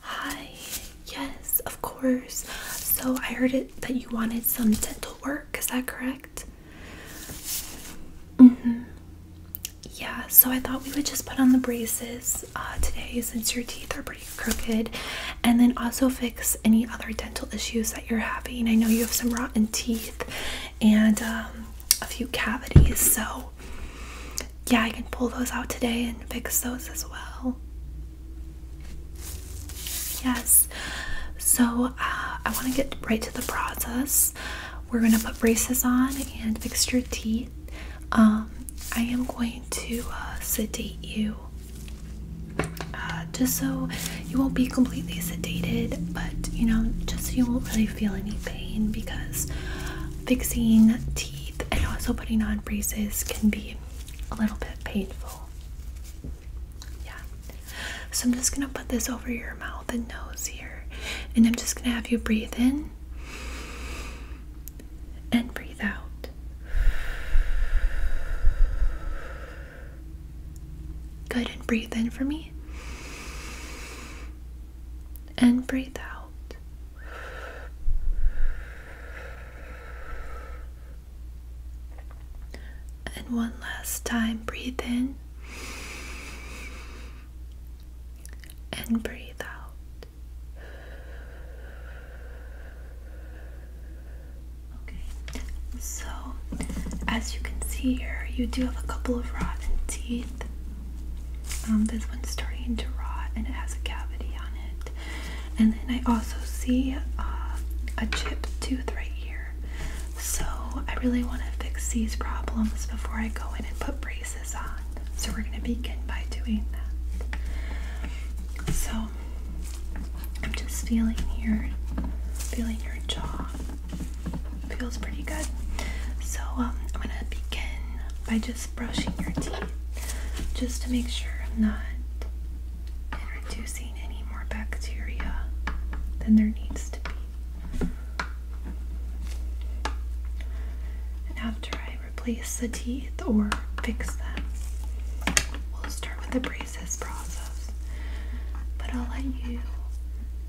Hi, yes, of course. So I heard it that you wanted some dental work, is that correct? hmm Yeah, so I thought we would just put on the braces uh, today since your teeth are pretty crooked and then also fix any other dental issues that you're having. I know you have some rotten teeth and um, a few cavities, so yeah, I can pull those out today and fix those as well. Yes. So, uh, I want to get right to the process. We're going to put braces on and fix your teeth. Um, I am going to uh, sedate you uh, just so you won't be completely sedated, but you know, just so you won't really feel any pain because fixing teeth and also putting on braces can be a little bit painful. Yeah. So I'm just going to put this over your mouth and nose here. And I'm just going to have you breathe in and breathe out. Good. And breathe in for me. And breathe out. And one last time, breathe in and breathe out. Okay, so as you can see here, you do have a couple of rotten teeth, um, this one's starting to rot and it has a cavity on it. And then I also see uh, a chip tooth right here. So I really want to fix these problems before I go in and put braces on. So we're going to begin by doing that. So I'm just feeling here, feeling your jaw. Feels pretty good. So um, I'm going to begin by just brushing your teeth just to make sure I'm not introducing any more bacteria than there needs to be. And after I replace the teeth or fix them, we'll start with the braces process. But I'll let you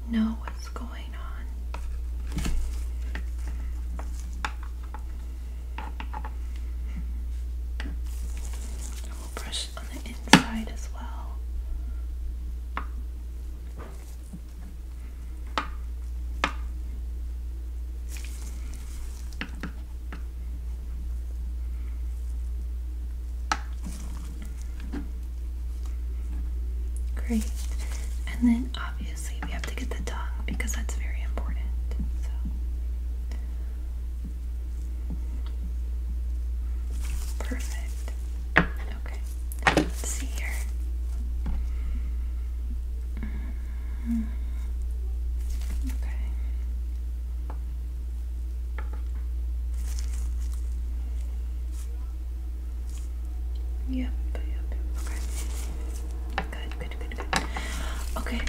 know what's going on. And will brush on the inside as well. Great. And then obviously we have to get the tongue because that's very important. Perfect. Okay. see here. Mm-hmm. Okay. Yep, yep, yep. Okay. Good, good. Okay,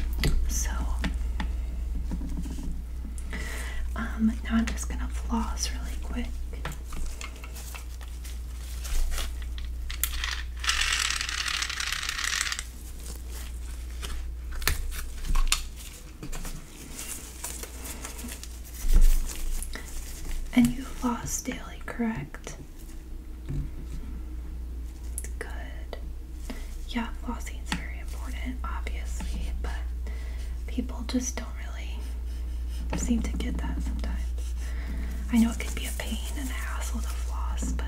so um, now I'm just gonna floss really quick. And you floss daily, correct? Good. Yeah, flossing is very important, obviously, but people just don't really seem to get that sometimes. I know it can be a pain and a hassle to floss, but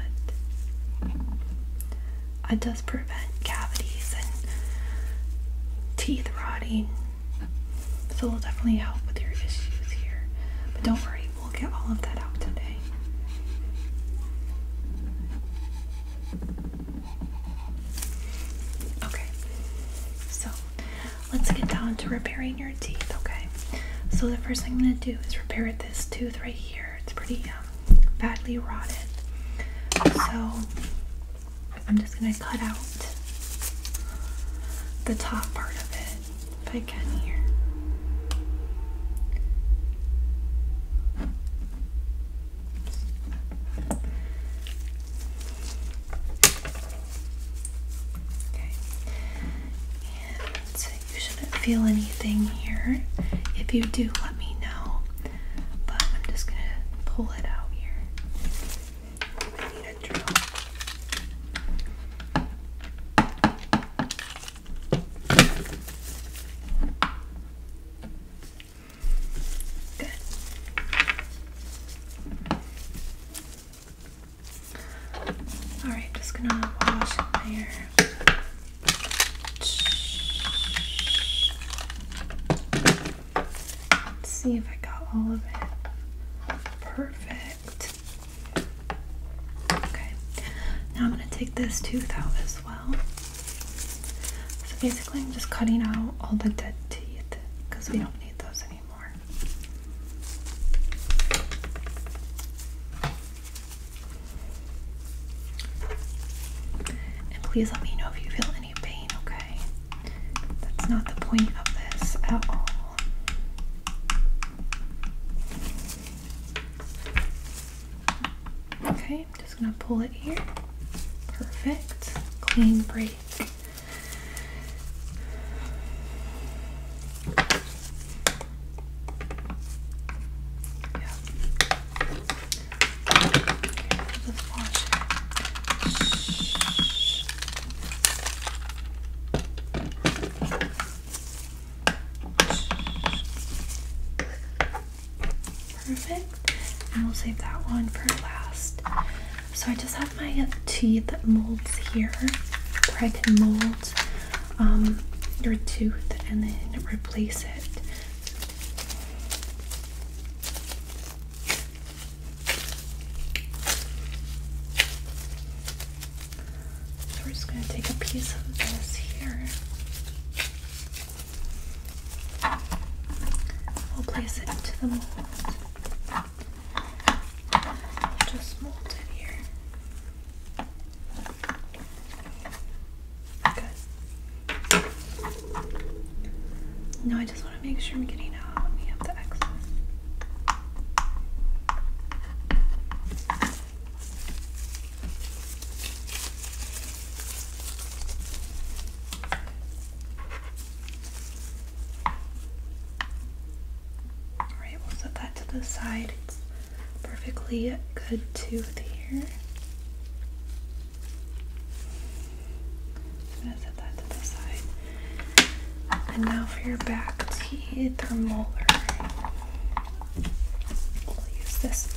it does prevent cavities and teeth rotting. So it'll definitely help with your issues here. But don't worry, We'll get all of that out today. Okay, so let's get down to repairing your teeth, okay? So, the first thing I'm going to do is repair this tooth right here. It's pretty um, badly rotted. So, I'm just going to cut out the top part of it if I can here. Okay, you shouldn't feel anything here. If you do, let me know. But I'm just gonna pull it out here. I need a drill. All right, just gonna wash in there. Let's see if I got all of it perfect. Okay, now I'm going to take this tooth out as well. So basically, I'm just cutting out all the dead teeth because we don't need those anymore. And please let me know if you feel any pain, okay? That's not the point of this at all. Okay, I'm just gonna pull it here. Perfect. Clean break. Perfect. And we'll save that one for last. So I just have my tea molds here where I can mold um, your tooth and then replace it we're just going to take a piece of this here. We'll place it into the mold. just mold it here. Good. Now I just want to make sure I'm getting out of the excess. Alright, we'll set that to the side. It's perfectly good tooth here. I'm gonna set that to the side. And now for your back teeth need the molar. We'll use this mold.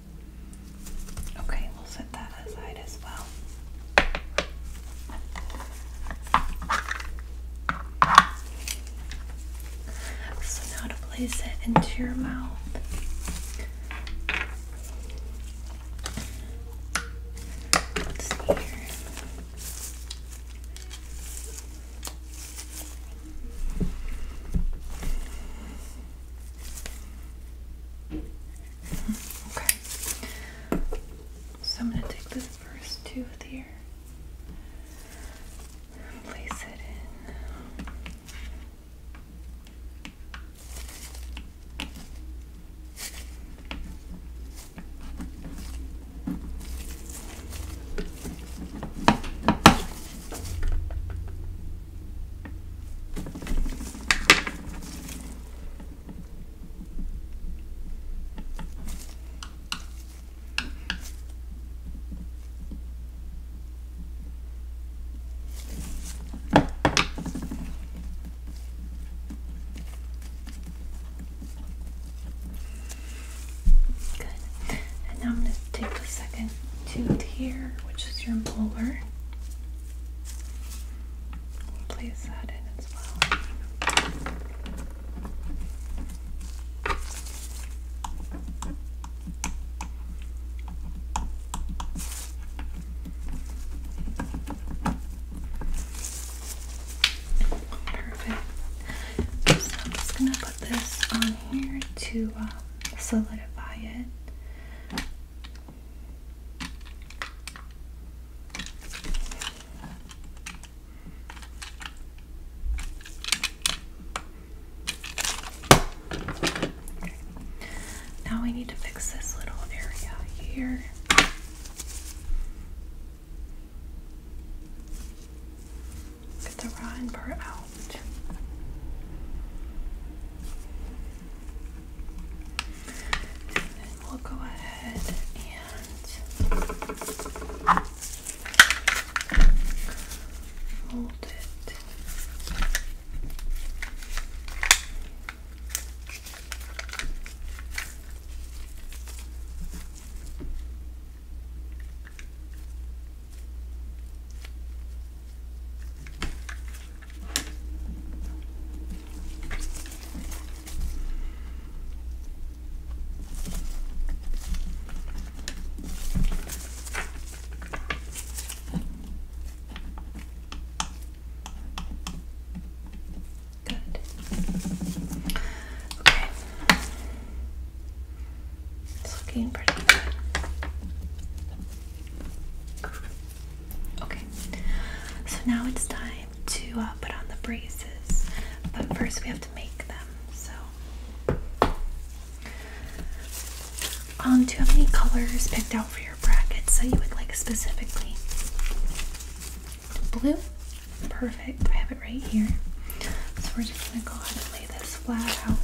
Okay, we'll set that aside as well. So now to place it into your mouth. here. Okay. So I'm gonna take this first tooth here place it in. Good. And now I'm going to take a second to here, which is your molar. We'll place that in as well. Perfect. So I'm just gonna put this on here to um, solidify it. Now we need to fix this little area here. Get the rotten out. And then we'll go ahead and fold it. Good. Okay. It's looking pretty good. Okay, so now it's time to uh, put on the braces, but first we have to make them. So, um, do you have any colors picked out for your brackets that you would like specifically? Blue, perfect. I have it right here. So we're just gonna go ahead and lay this flat out.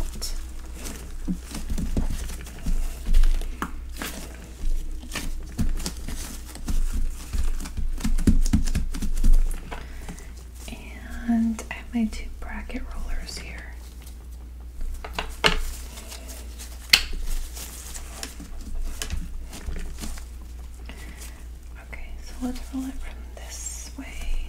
And I have my two bracket rollers here. Okay, so let's roll it from this way.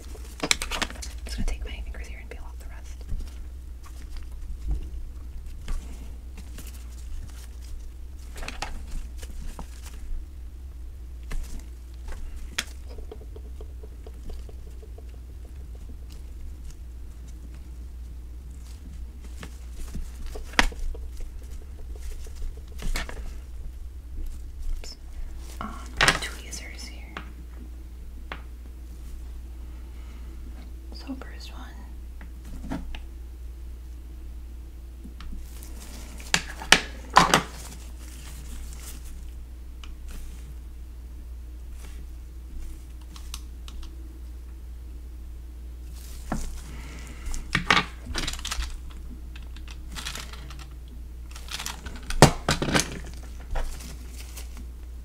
I'm just gonna take my fingers here and peel off the rest. Um, tweezers here. So first one.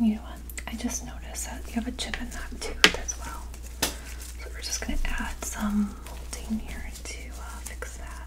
You know what? I just noticed that you have a chip in that tooth as well. So we're just going to add some molding here to uh, fix that.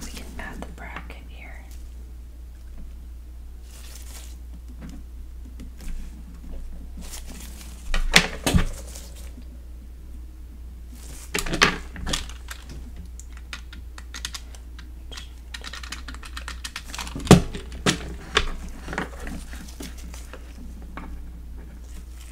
We can add the bracket here.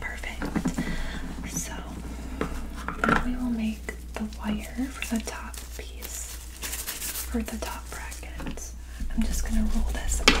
Perfect. So we will make the wire for the top piece, for the top bracket. I'm just going to roll this out.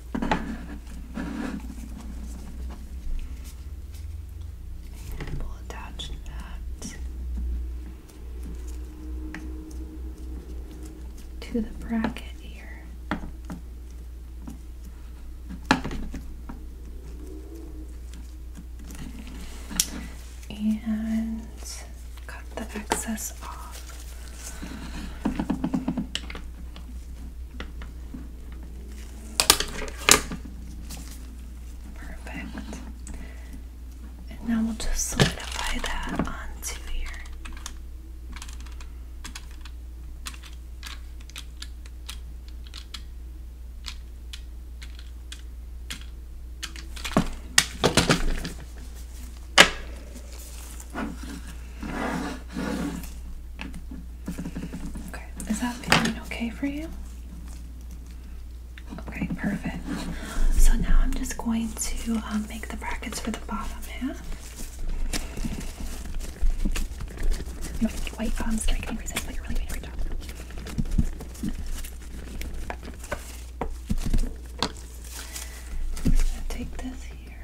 we'll attach that to the bracket here. And cut the excess off. Perfect. And now we'll just solidify that onto here. Okay, is that feeling okay for you? Okay, perfect. So now I'm just going to um, make the brackets for the bottom half. wait, um, sorry, getting resist, but you're really doing a I'm gonna take this here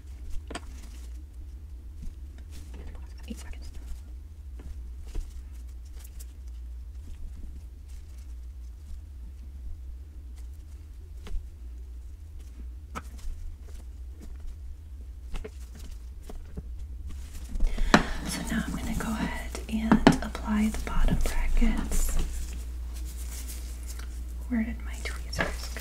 Eight seconds. So now I'm going to go ahead and apply the bottom brackets. Where did my tweezers go?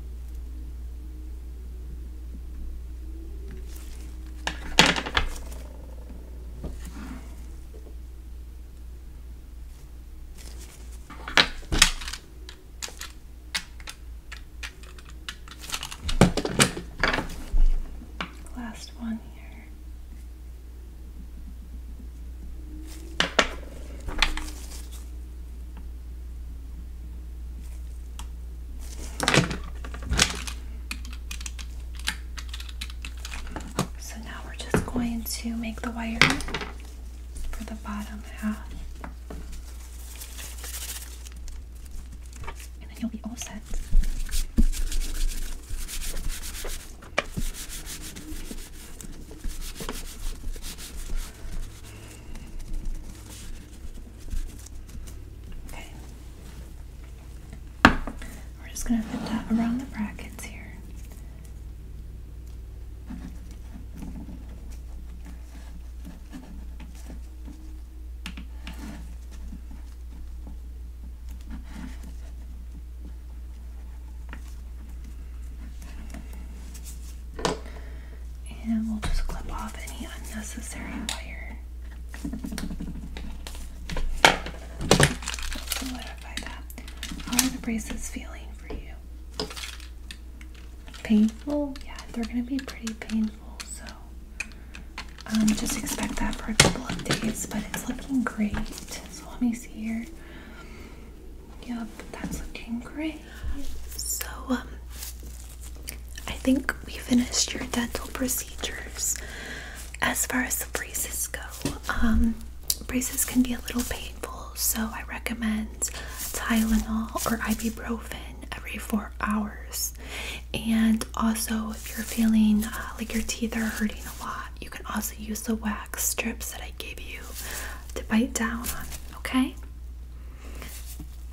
Last one here. So now we're just going to make the wire for the bottom half. And then you'll be all set. Okay. We're just going to put that around the brackets here and we'll just clip off any unnecessary wire. We'll solidify that. How are the braces feeling for you? Painful? Yeah, they're going to be pretty painful, so um, just expect that for a couple of days, but it's looking great. So let me see here. Yeah, that's looking great. So, um, I think we finished your dental procedures. As far as the braces go, um, braces can be a little painful, so I recommend Tylenol or ibuprofen every four hours. And also, if you're feeling uh, like your teeth are hurting a lot, you can also use the wax strips that I gave you to bite down on okay?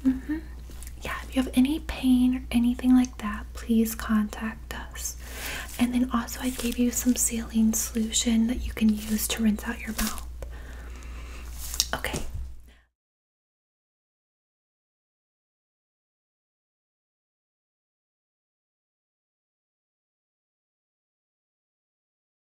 hmm Yeah, if you have any pain or anything like that, please contact us. And then also, I gave you some saline solution that you can use to rinse out your mouth. Okay.